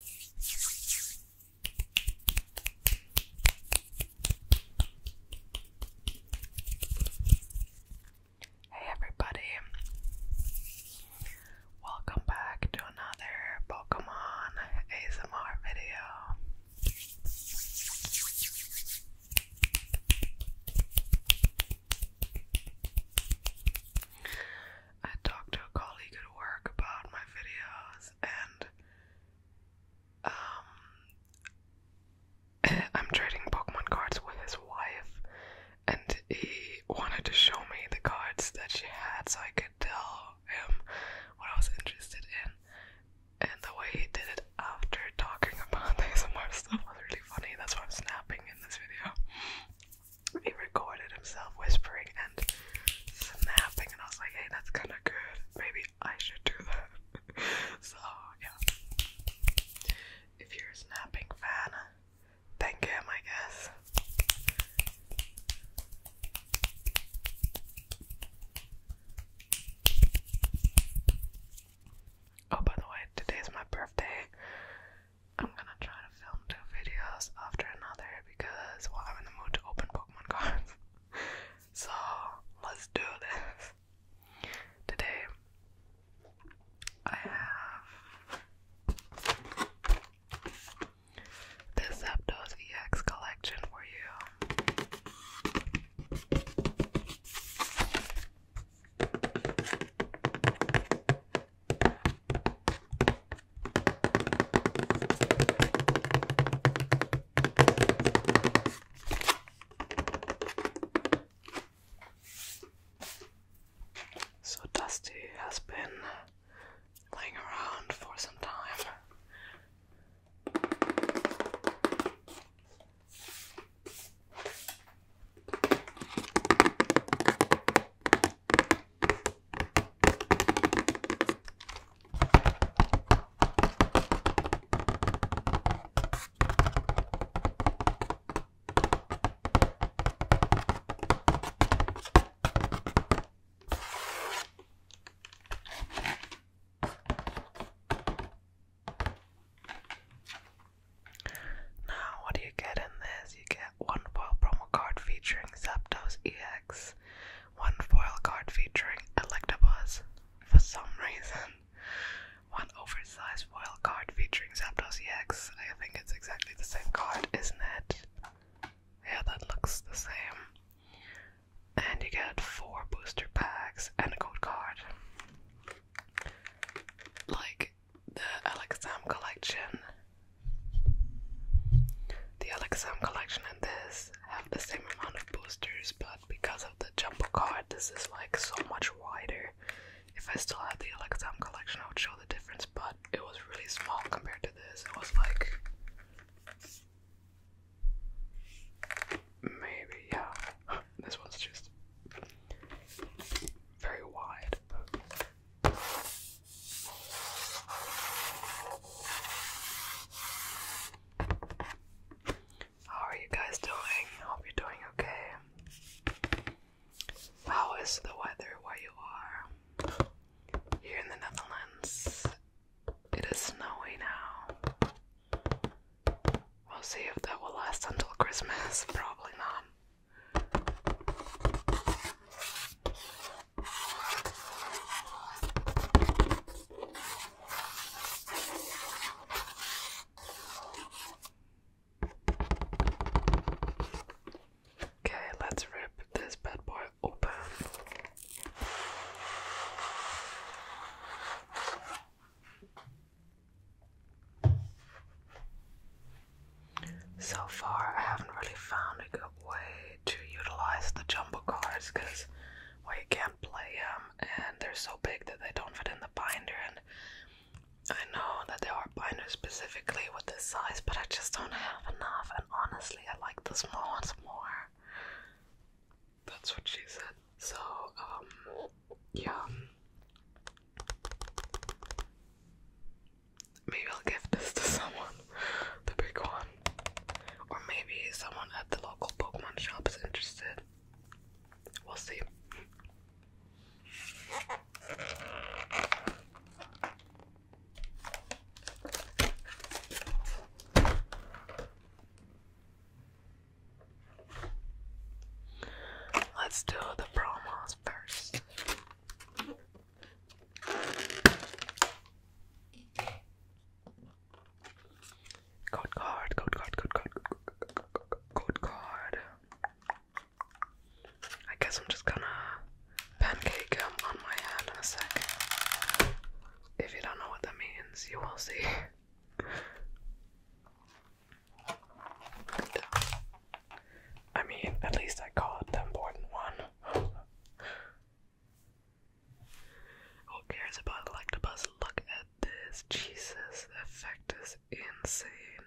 Hey everybody. Welcome back to another Pokemon ASMR video. I talked to a colleague at work about my videos, and um, I'm trading Pokemon cards with his wife, and he wanted to show me the cards that she had so I could tell him what I was interested in. And the way he did it after talking about the ASMR stuff was really funny. That's why I'm snapping in this video he recorded himself whispering and snapping, and I was like, hey, that's kind of good. Maybe I should do that. so, yeah. If you're a snapping fan, thank him, I guess. Oh, by the way, today's my birthday. I'm gonna try to to two videos after another because, well, I'm in the mood to open Pokemon cards. so, let's do this. Today, I have this Zapdos collection for you. So, Dusty has been laying around for some time. Now, what do you get in this? You get one wild promo card featuring Zapdos EX one foil card featuring Electabuzz. For some reason, one oversized foil card featuring Zapdos X. I think it's exactly the same card, isn't it? Yeah, that looks the same. And you get four booster packs and a gold card. Like the Alexam collection the Alexam collection and this have the same amount of boosters, but because of the jumbo card, this is like so much wider. If I still had the Alexam collection, I would show the difference, but it was really small compared to this. It was like maybe, yeah. This one's just very wide. How are you guys doing? Hope you doing okay. How is the weather where you are? Here in the Netherlands, it is snowy now. We'll see if that will last until Christmas. Probably not. Okay, let's rip this bad boy open. So far, I haven't really found a good way to utilize the jumbo cards because well, can't play them and they're so big that they don't fit in the binder. And I know that there are binders specifically with this size, but I just don't have enough. And honestly, I like the small ones more. That's what she said. So, um, yeah. Maybe I'll give this to someone, the big one. Or maybe someone at the local Pokemon shop is interested. We'll see. Let's do the promos first. Code card, code card, code card, code card. I guess I'm just gonna pancake him on my hand in a sec. If you don't know what that means, you will see. I mean, at least I called the important one. Who cares about Electabuzz? Look at this. Jesus, effect is insane.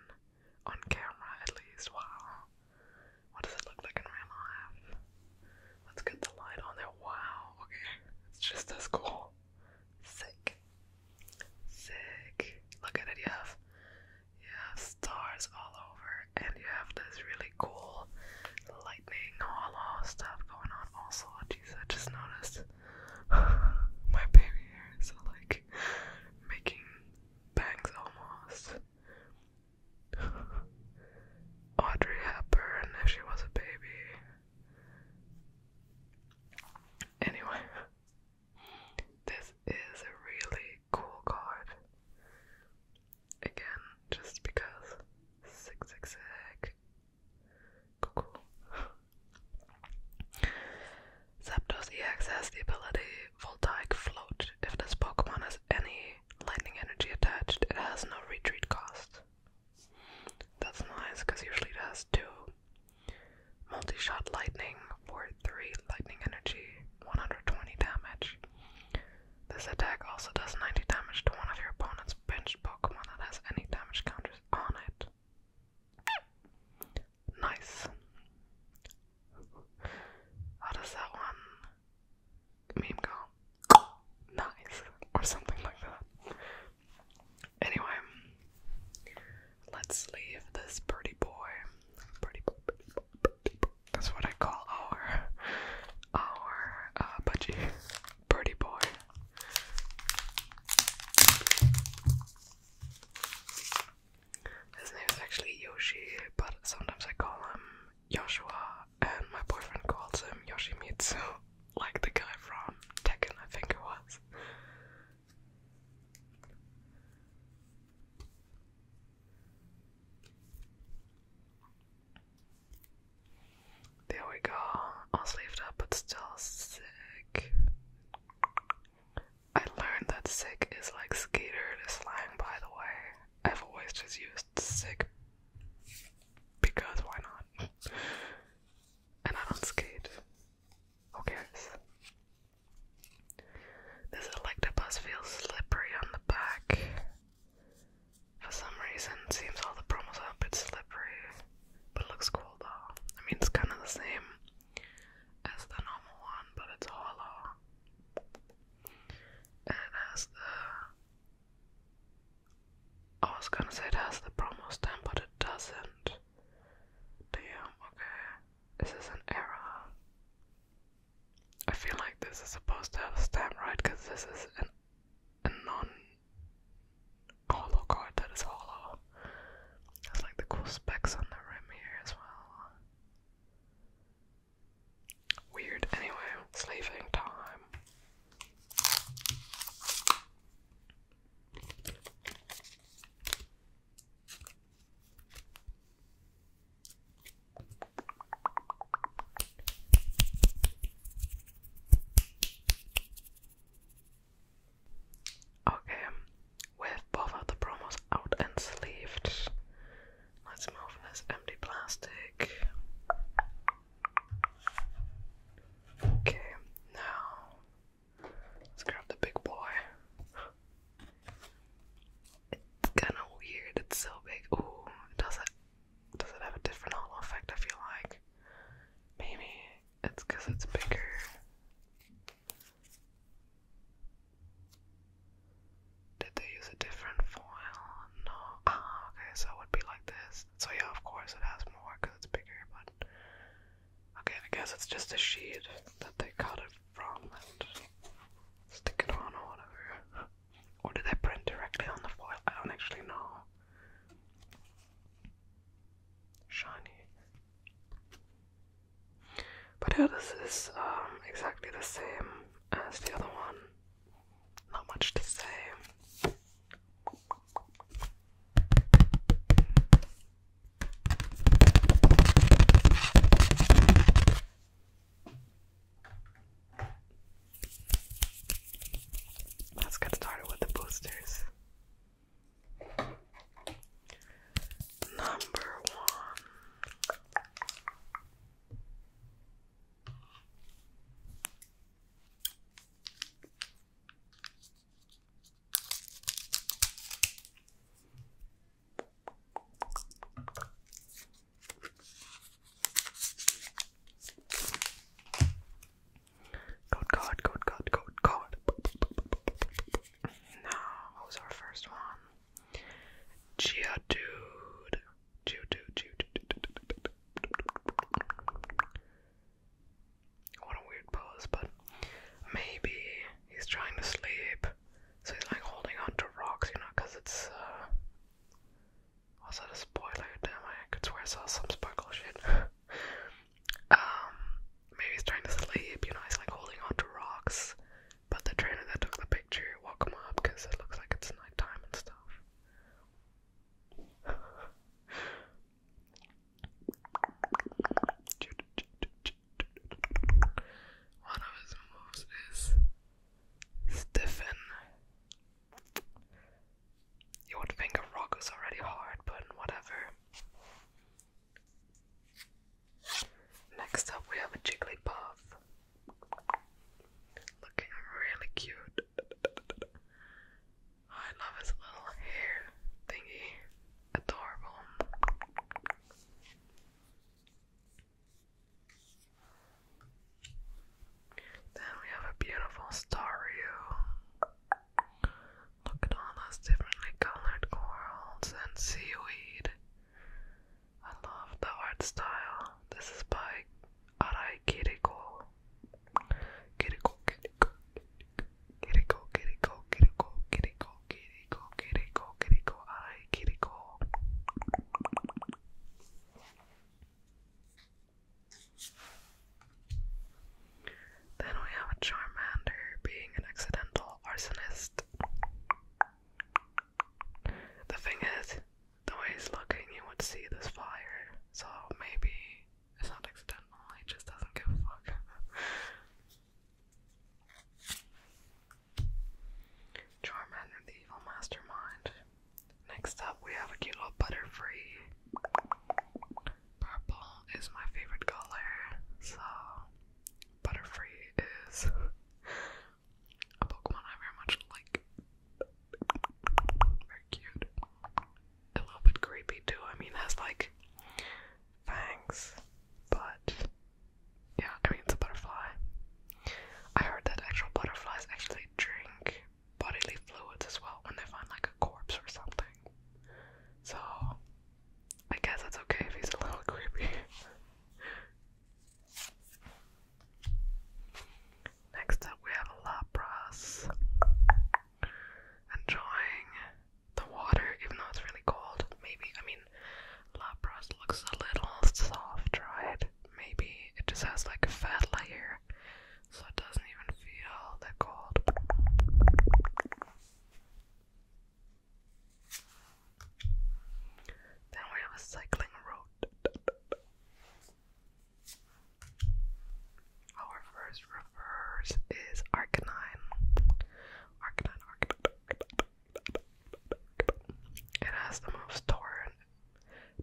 On camera, at least. Wow. What does it look like in real life? Let's get the light on there. Wow. Okay. It's just as cool. Sick. Sick. Look at it. You have you stars all over, and you have this really cool lightning all hollow stuff going on. Also, Jesus, I just noticed my baby hair is like making bangs almost. Audrey Hepburn, if she was a baby. Anyway, this is a really cool card again just because zig zig Zapdos EX has the ability Voltaic Float. If this Pokemon has any lightning energy attached, it has no retreat cost. That's nice because usually it has two multi shot lightning for three lightning energy, 120 damage. This attack also does 90 damage to one of your opponent's benched Pokemon that has any damage counters on it. Nice. How does that one meme go? Nice. Or something like that. Anyway, let's leave this pretty boy. Pretty boy, pretty that's what I call our our uh, budgie, birdie boy. His name is actually Yoshi, but sometimes I call him Joshua, and my boyfriend calls him Yoshimitsu, like the guy from Tekken, I think it was. There we go. All sleeved up, but still sick. I learned that sick is like skater to slang, by the way. I've always just used sick because why not? And I don't skate. Who cares? This electabus feels slippery on the back. For some reason, seems all the promos are a bit slippery, but it looks cool though. I mean, it's kind of the same as the normal one, but it's hollow. And it has the. I was gonna say it has the promo stamp, but it doesn't. Damn, okay. This is an error. I feel like this is supposed to have a stamp, right? Because this is an, a non-hollow card that is hollow. There's like the cool specs on the rim here as well. Weird. Anyway, sleeving time. Okay, with both of the promos out and sleeved, let's move this empty plastic. Okay, now let's grab the big boy. It's kinda weird, it's so big. Ooh, does it does it have a different hollow effect If you like? Maybe it's because it's bigger. Did they use a different foil? No. Ah, okay, so it would be like this. So yeah, of course it has more because it's bigger, but okay, I guess it's just a sheet that they cut it from and stick it on or whatever. Or do they print directly on the foil? I don't actually know. Shiny. But yeah, this is um, exactly the same as the other one. Not much to say. Let's get started with the boosters. Number one. Good God, good God, good God. Now, what was our first one? Geodude. Geodude, Geodude. What a weird pose, but maybe he's trying to sleep. So he's like holding onto rocks, you know, because it's, uh. Was that Damn, I could swear I saw some sparkle shit. um, maybe he's trying to sleep, you know, he's like holding on rocks. But the trainer that took the picture woke him up because it looks like it's nighttime and stuff. One of his moves is stiffen. You would rock is already hard, but whatever. Next up, we have a Jigglypuff. Looking really cute. I love his little hair thingy. Adorable. Then we have a beautiful staryu. Look at all those differently colored corals and seaweed. I love the art style. This is by Arai Kiriko. Kiriko, Kiriko, Kiriko, Kiriko, Kiriko, Kiriko, Kiriko, Kiriko, Kiriko, Arai Kiriko. Then we have a Charmander being an accidental arsonist. The thing is, the way he's looking, you would see this fire, so maybe it's not accidental, he just doesn't give a fuck. Charmander the Evil Mastermind. Next up, we have a cute little Butterfree. Purple is my favorite color, so Butterfree is a Pokemon I very much like. Very cute. A little bit creepy too. I mean, it has like fangs, but yeah, I mean, it's a butterfly. I heard that actual butterflies actually drink bodily fluids as well when they find like a corpse or something. So, I guess it's okay if he's a little creepy. Next up, we have Lapras enjoying the water, even though it's really cold. Maybe, I mean, Lapras looks a little soft, right? maybe it just has like a fat layer so it doesn't even feel that cold. Then we have a cycling road. Our first reverse is Arcanine. Arcanine, Arcanine. It has the most torrent,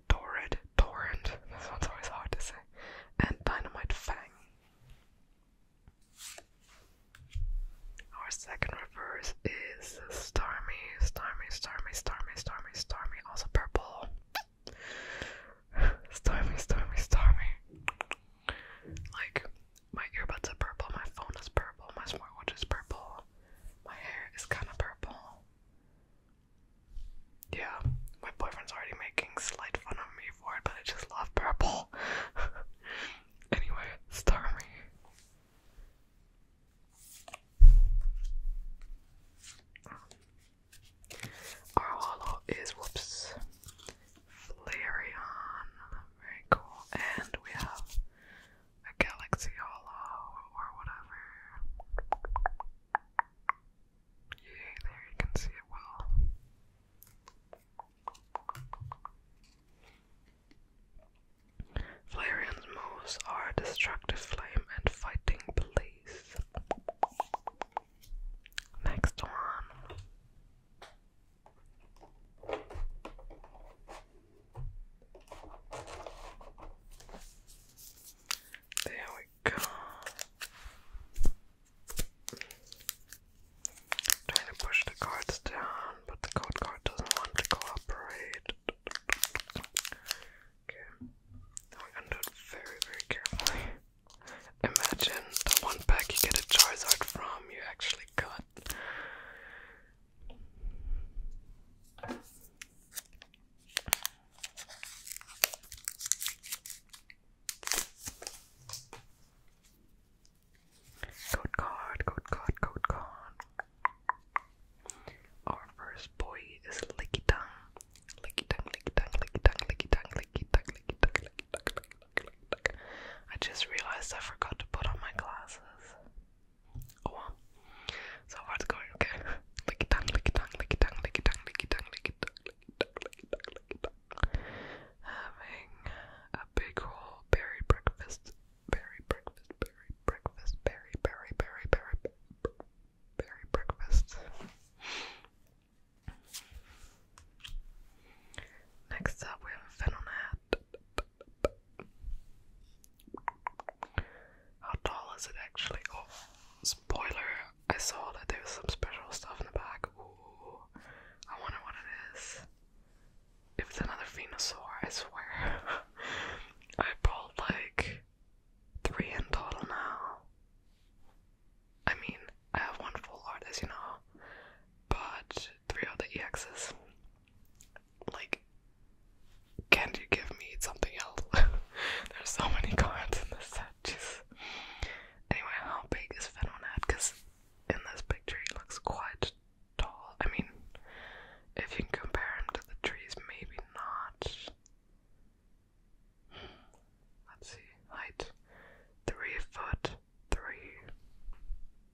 torrid, torrent, this one's always hard to say, and dynamite fang. Our second reverse is Starmie, Starmie, Starmie, Starmie, Starmie, Starmie, also purple. Starmie, Starmie, Starmie. Like, my earbuds are purple, my phone is purple, my smartwatch is purple. My hair is kind of purple. Yeah, my boyfriend's already making slight fun of me for it, but I just love purple. anyway, Stormy. Our holo is whoops Flareon. Very cool. And we have a galaxy hollow or whatever. Yeah, there you can see it well. Flareon's moves are destructive flame and fighting police. Next one. There we go. Trying to push the cards down, but the code card doesn't want to cooperate. Okay, now we're it very, very carefully. Imagine the one pack you get a Charizard from, you actually got Good God, good God, good God. Our first boy is Licky Tongue. Licky Tongue, Licky Tongue, Licky Tongue, Licky Tongue, Licky Tongue, Licky Tongue, Licky Tongue, Licky Tongue, Licky Tongue. I just realized I forgot to put on my glasses. Oh So what's going, okay? Lick it down, lick it down, lick it down, lick it down, lick it down, lick it down, lick it down, lick it Having a big ol' berry breakfast. Berry breakfast, berry breakfast, berry, berry, berry, berry, berry, breakfast. Next up, we have Fennel hat. How tall is it actually? Oh, spoiler! I saw that there was some special stuff in the back. Ooh, I wonder what it is. If it's another Venusaur, I swear. I pulled like three in total now. I mean, I have one full art, as you know, but three of the EXs. Like, can you give me something else? There's so many cards in this set. Jeez. Anyway, how big is Fenonad? Because in this picture, he looks quite tall. I mean, if you can compare him to the trees, maybe not. Let's see. Height three foot three.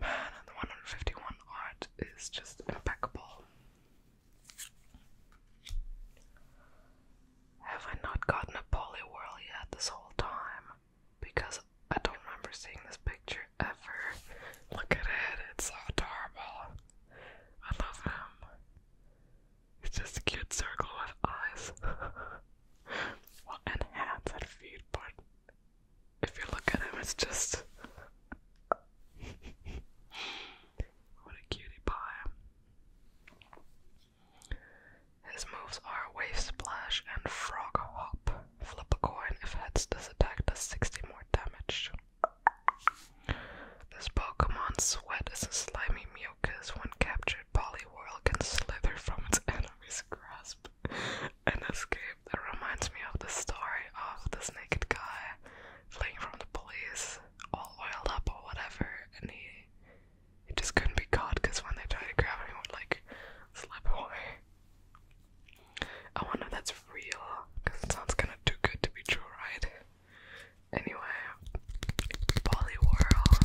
Man, the 151 art is just impeccable. Have I not gotten a polywhirl yet this whole time? Because I don't remember seeing this picture ever. Look at it, it's adorable. I love him. It's just a cute circle with eyes. and hands and feet, but if you look at him, it's just. what a cutie pie. His moves are Wave Splash and Frog Hop. Flip a coin. If heads, does attack does 60 more damage. This Pokemon Sweat is a slimy mew. Yokas, when captured, Poliwhirl can slither from its enemy's grasp and escape. That reminds me of the story of this naked guy fleeing from the police, all oiled up or whatever, and he he just couldn't be caught because when they tried to grab him, he would like slip away. I wonder if that's real, because it sounds kind of too good to be true, right? Anyway, Poliwhirl.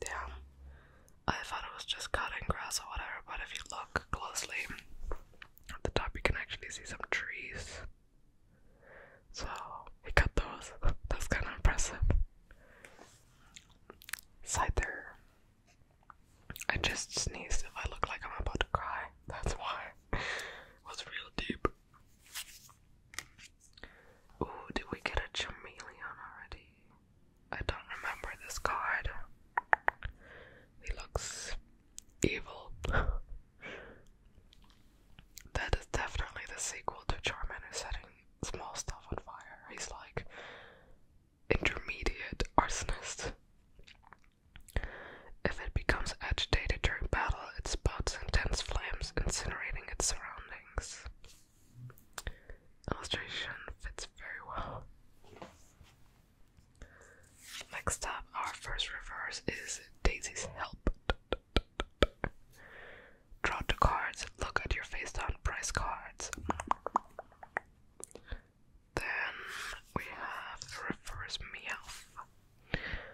Damn. I thought it was just cutting grass or whatever, but if you look closely at the top, you can actually see some trees. So he cut those. That's kind of impressive. Side there. I just sneezed if I look like I'm about to cry. That's why. it was real deep. Ooh, did we get a Chameleon already? I don't remember this card. He looks evil. that is definitely the sequel to Charmander setting small stuff on fire. He's like intermediate arsonist. If it becomes agitated during battle, it spots intense flames, incinerating its surroundings. Illustration fits very well. Next up, our first reverse is Daisy's Help. Draw two cards, look at your face down price cards. Then we have reverse meow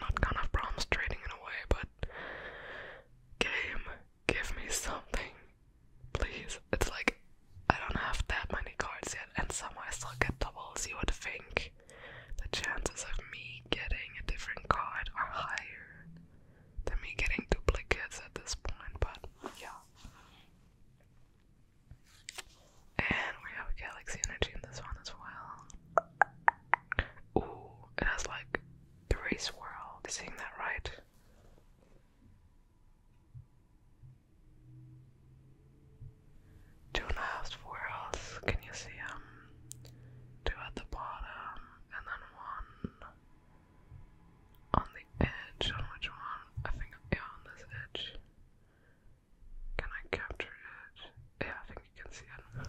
not gonna have problems trading it but game, give me something, please. It's like I don't have that many cards yet, and somehow I still get doubles. You would think the chances of me getting a different card are higher than me getting duplicates at this point, but yeah. And we have Galaxy Energy in this one as well. Ooh, it has like three swirls. Is seeing that right? Two and a half Can you see them? Two at the bottom, and then one on the edge. On which one? I think yeah, on this edge. Can I capture it? Yeah, I think you can see it.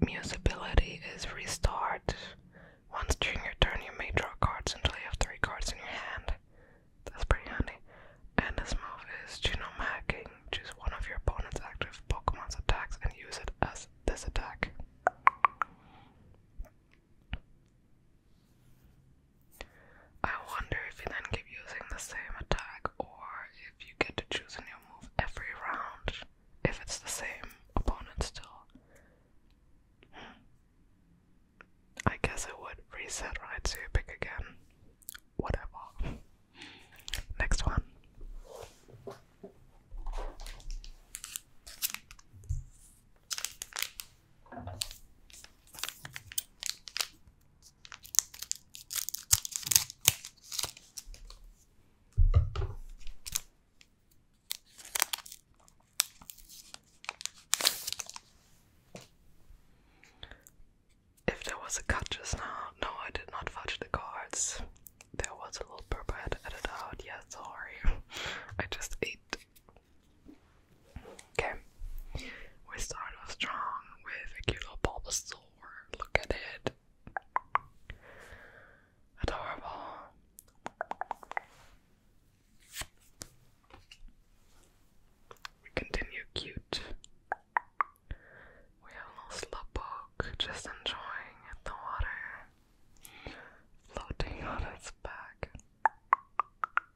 Musability is restored. Once during your turn, you may draw cards until you have three cards in your hand. That's pretty handy. And this move is Genomacking. Choose one of your opponent's active Pokemon's attacks and use it as this attack. I wonder if you then keep using the same attack or if you get to choose a new move every round if it's the same opponent still. I guess it would reset right so you pick again. Whatever. Next one. If there was a cut just now, no, I did not fudge the cards. There was a little purple I had to edit out. Yeah, sorry. I just ate. Okay. We start off strong with a cute little Bulbasaur. Look at it. Adorable. continue cute. We have a little slowpoke just enjoying the water floating on its back.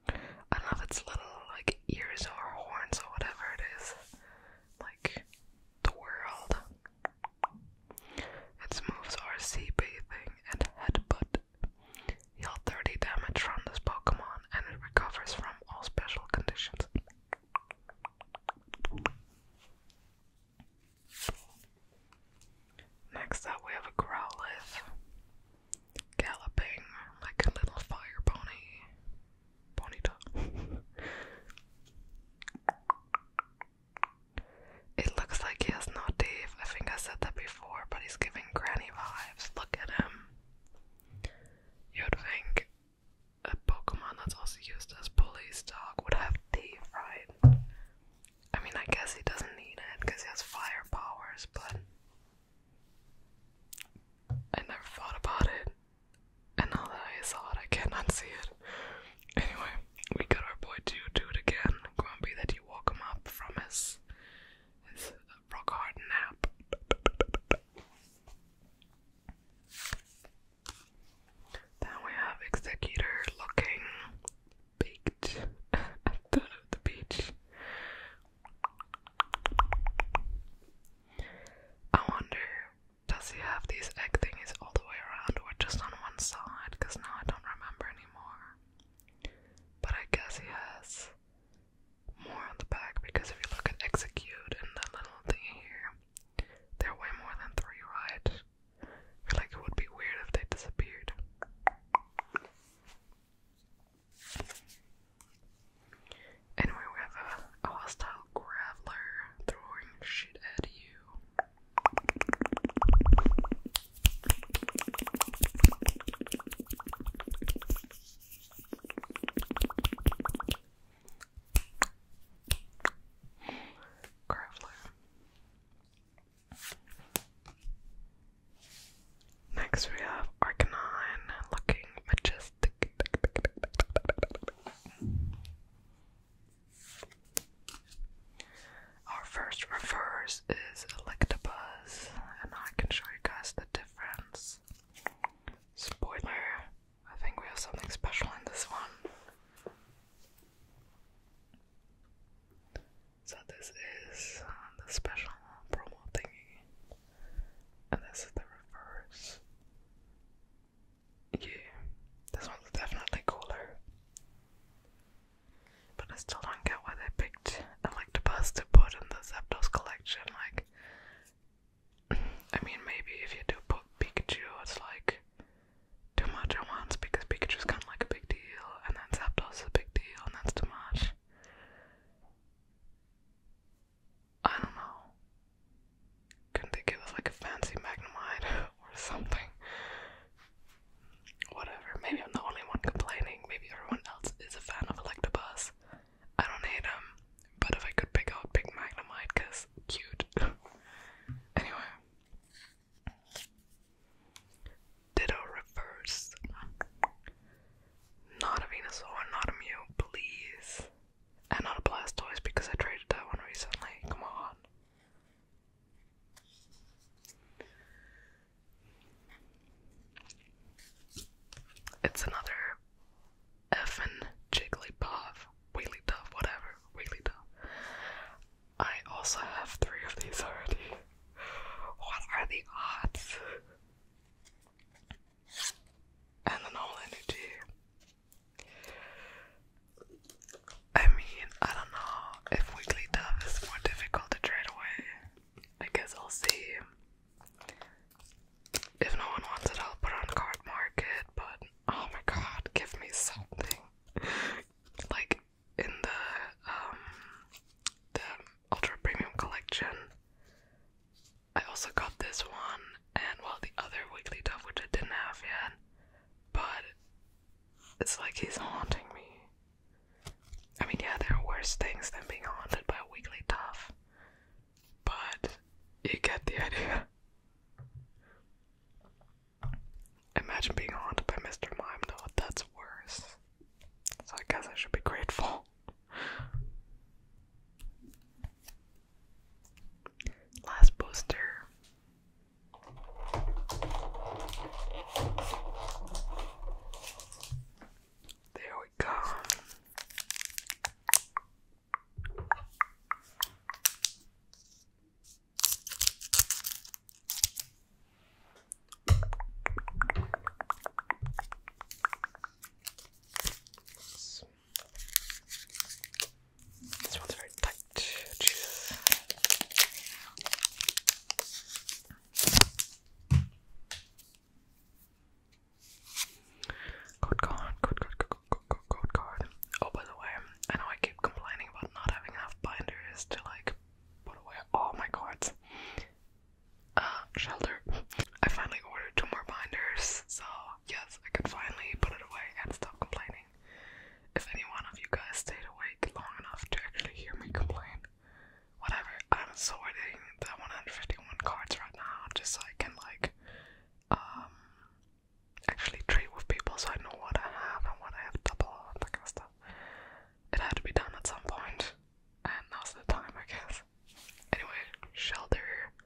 I love its little like ears or horns or whatever it is. Like the world. Its moves are sea bathing and headbutt. Heal 30 damage from this Pokemon and it recovers from all special conditions. Next up, we have a Growlithe. Galloping like a little fire pony. Bonita. it looks like he has no teeth. I think I said that before, but he's giving granny vibes. Look at him. You'd think a Pokemon that's also used as police dog would have teeth, right? I mean, I guess he doesn't need it because he has fire powers, but I never thought about it. And now that I saw it, I cannot see it. Anyway, we got our boy to do it again. Grumpy that you woke him up from his, his rock hard nap. Then we have Executor looking baked at the beach. I wonder does he have these egg thingies all the way around or just on one side? Because now I don't remember anymore. But I guess he has more on the back because if you look at execute and the little thing here, they're way more than three, right? I feel like it would be weird if they disappeared. Anyway, we have a, a Graveler throwing shit at you. Graveler. Next we have Arcanine looking majestic. Our first reverse is Electabuzz, and I can show you guys the difference. Spoiler, I think we have something special in this one. So this is the special promo thingy, and this is the reverse. Yeah, this one's definitely cooler. But I still don't get why they picked Electabuzz to put in the Zapdos collection. Like, I mean, maybe if you do put Pikachu, it's like too much at once because Pikachu's kind of like a big deal, and then Zapdos is a big deal, and that's too much. I don't know. Couldn't they give us like a fancy Magnemite or something? Whatever. Maybe I'm the only one complaining. Maybe everyone else is a fan of Electabuzz. I don't hate him, but if I could pick out Big Magnemite, cause cute. anyway. Ditto reverse. Not a Venusaur, not a Mew, please. And not a blast toys because I traded that one recently. Come on. It's another effin' Jigglypuff, Wigglytuff, whatever, Wigglytuff. I also have three of these already. What are the odds? And the normal energy. I mean, I don't know if Wiggly Dove is more difficult to trade away. I guess I'll see. If no one wants it, I'll put on card market, but oh my god, give me something. like in the um the ultra premium collection. I also got this one and well the other Wigglytuff which I didn't have yet, but it's like he's haunting me. I mean, yeah, there are worse things than being haunted by a Wigglytuff, but you get the idea. Imagine being haunted by Mr. Mime, though, that's worse. So I guess I should be grateful. Last poster. There we go. Some this one's very tight. Jesus. card, good card, good, good, good, card. Oh, by the way, I know I keep complaining about not having enough binders to like put away all my cards. Uh, shelter. I finally ordered two more binders, so yes, I can finally put it away and stop complaining. If any one of you guys stayed awake long enough to actually hear me complain, whatever. I'm sorting the 151 cards right now just so I can like um actually trade with people so I know what I have and what I have double and that kind of stuff. It had to be done at some point, and now's the time, I guess. Anyway, shelter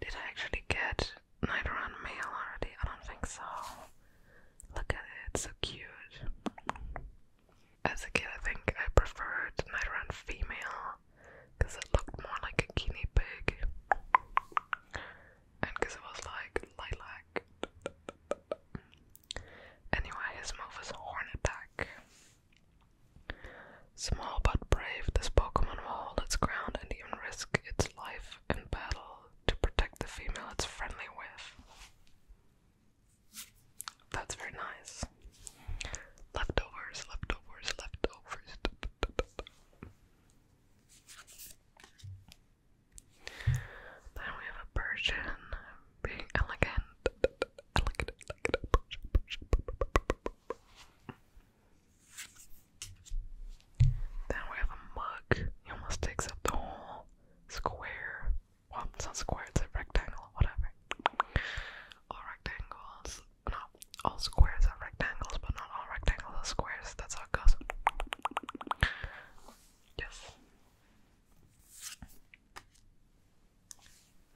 Did I actually get Nidoran male already? I don't think so. Look at it, it's so cute. As a kid, I think I preferred Nidoran female because it looked more like a guinea pig and because it was like lilac. Anyway, his move was Horn back. Small but brave, this Pokemon will hold its ground and even risk its life in battle to protect the female it's friendly with. That's very nice. Leftovers, leftovers, leftovers. Then we have a Persian being elegant. Then we have a mug. He almost takes up the whole square. Well, it's not square, it's a rectangle, whatever. All rectangles. No, all squares are rectangles, but not all rectangles are squares. That's how it goes. Yes.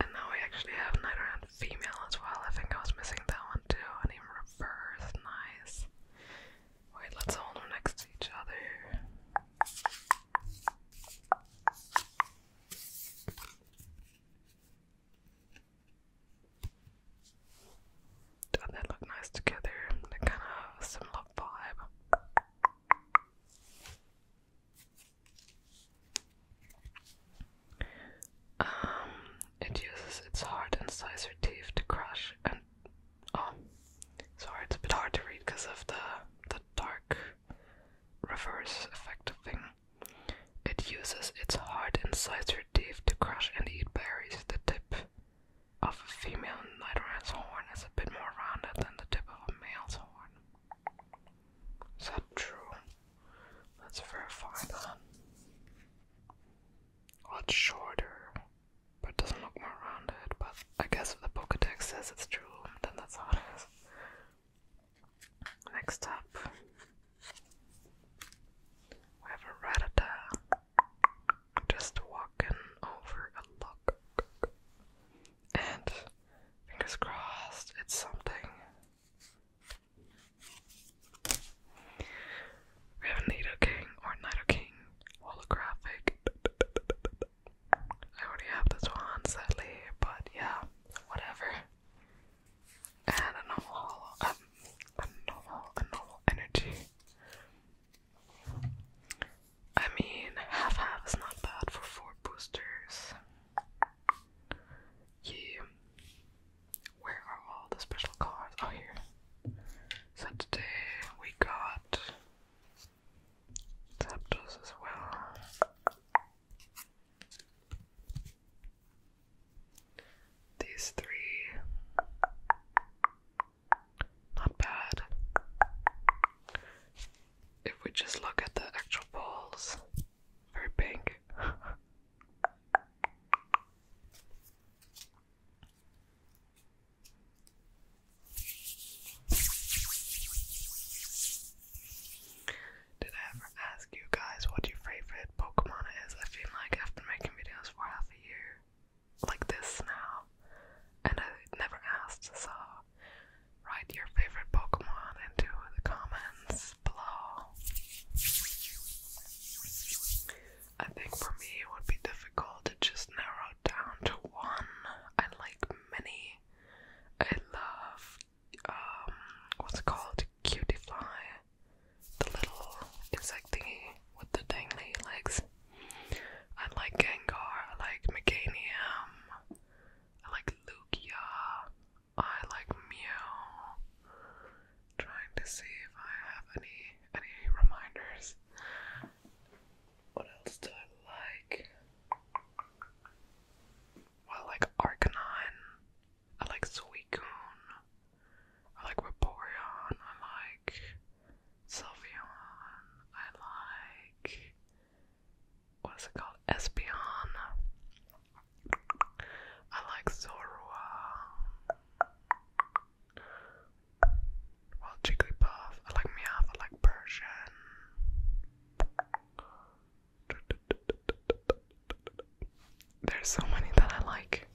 And now we actually have around female as well. I think I was missing that one too. And even reverse, nice. Wait, let's hold them next to each other. And they look nice together. They kind of similar vibe. Um, it uses its hard incisor teeth to crush and oh, sorry, it's a bit hard to read because of the the dark reverse effect thing. It uses its hard incisor teeth to crush and eat berries. The tip of a female night horn is a bit more rounded than the tip of a male's horn. Is that true? Let's verify that. it's shorter, but doesn't look more rounded. But I guess if the Pokedex says it's true, then that's how it is. Next up, we have a Rattata just walking over a log and fingers crossed it's something. We have a Nido or Nido holographic. I already have this one sadly, but yeah, whatever. And a normal um, a normal, a normal energy. I mean, half half is not bad for four boosters. You. Where are all the special cards? Oh, here. So today we got Zapdos as well. These three. Not bad. If we just look at the actual balls, very pink. Did I ever ask you guys what your favorite Pokemon is? I feel like I've been making videos for half a year like this now, and I never asked, so write your favorite Pokemon into the comments below. I think for me it would be difficult to just narrow down to one. I like many. I love um what's called? Cutiefly. The little insect thingy with the dangly legs. I like Gengar, I like Meganium, I like Lugia, I like Mew. Trying to see if I have any any reminders. What else do I like? I like Arcanine. I like Suicune. I like Vaporeon. I like Sylveon. I like what is it called? Espeon. I like Zorua. Well, Jigglypuff. I like Meowth. I like Persian. There's so many that I like.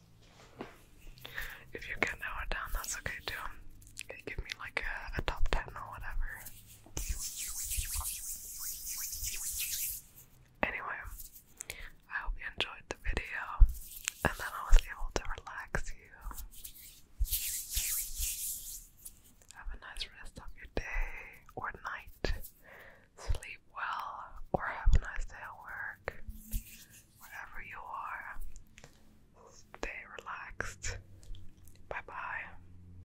If you can narrow down, that's okay too. give me like a top 10 or whatever. Anyway, I hope you enjoyed the video and then I was able to relax you. Have a nice rest of your day or night. Sleep well or have a nice day at work. Wherever you are, stay relaxed. Bye bye.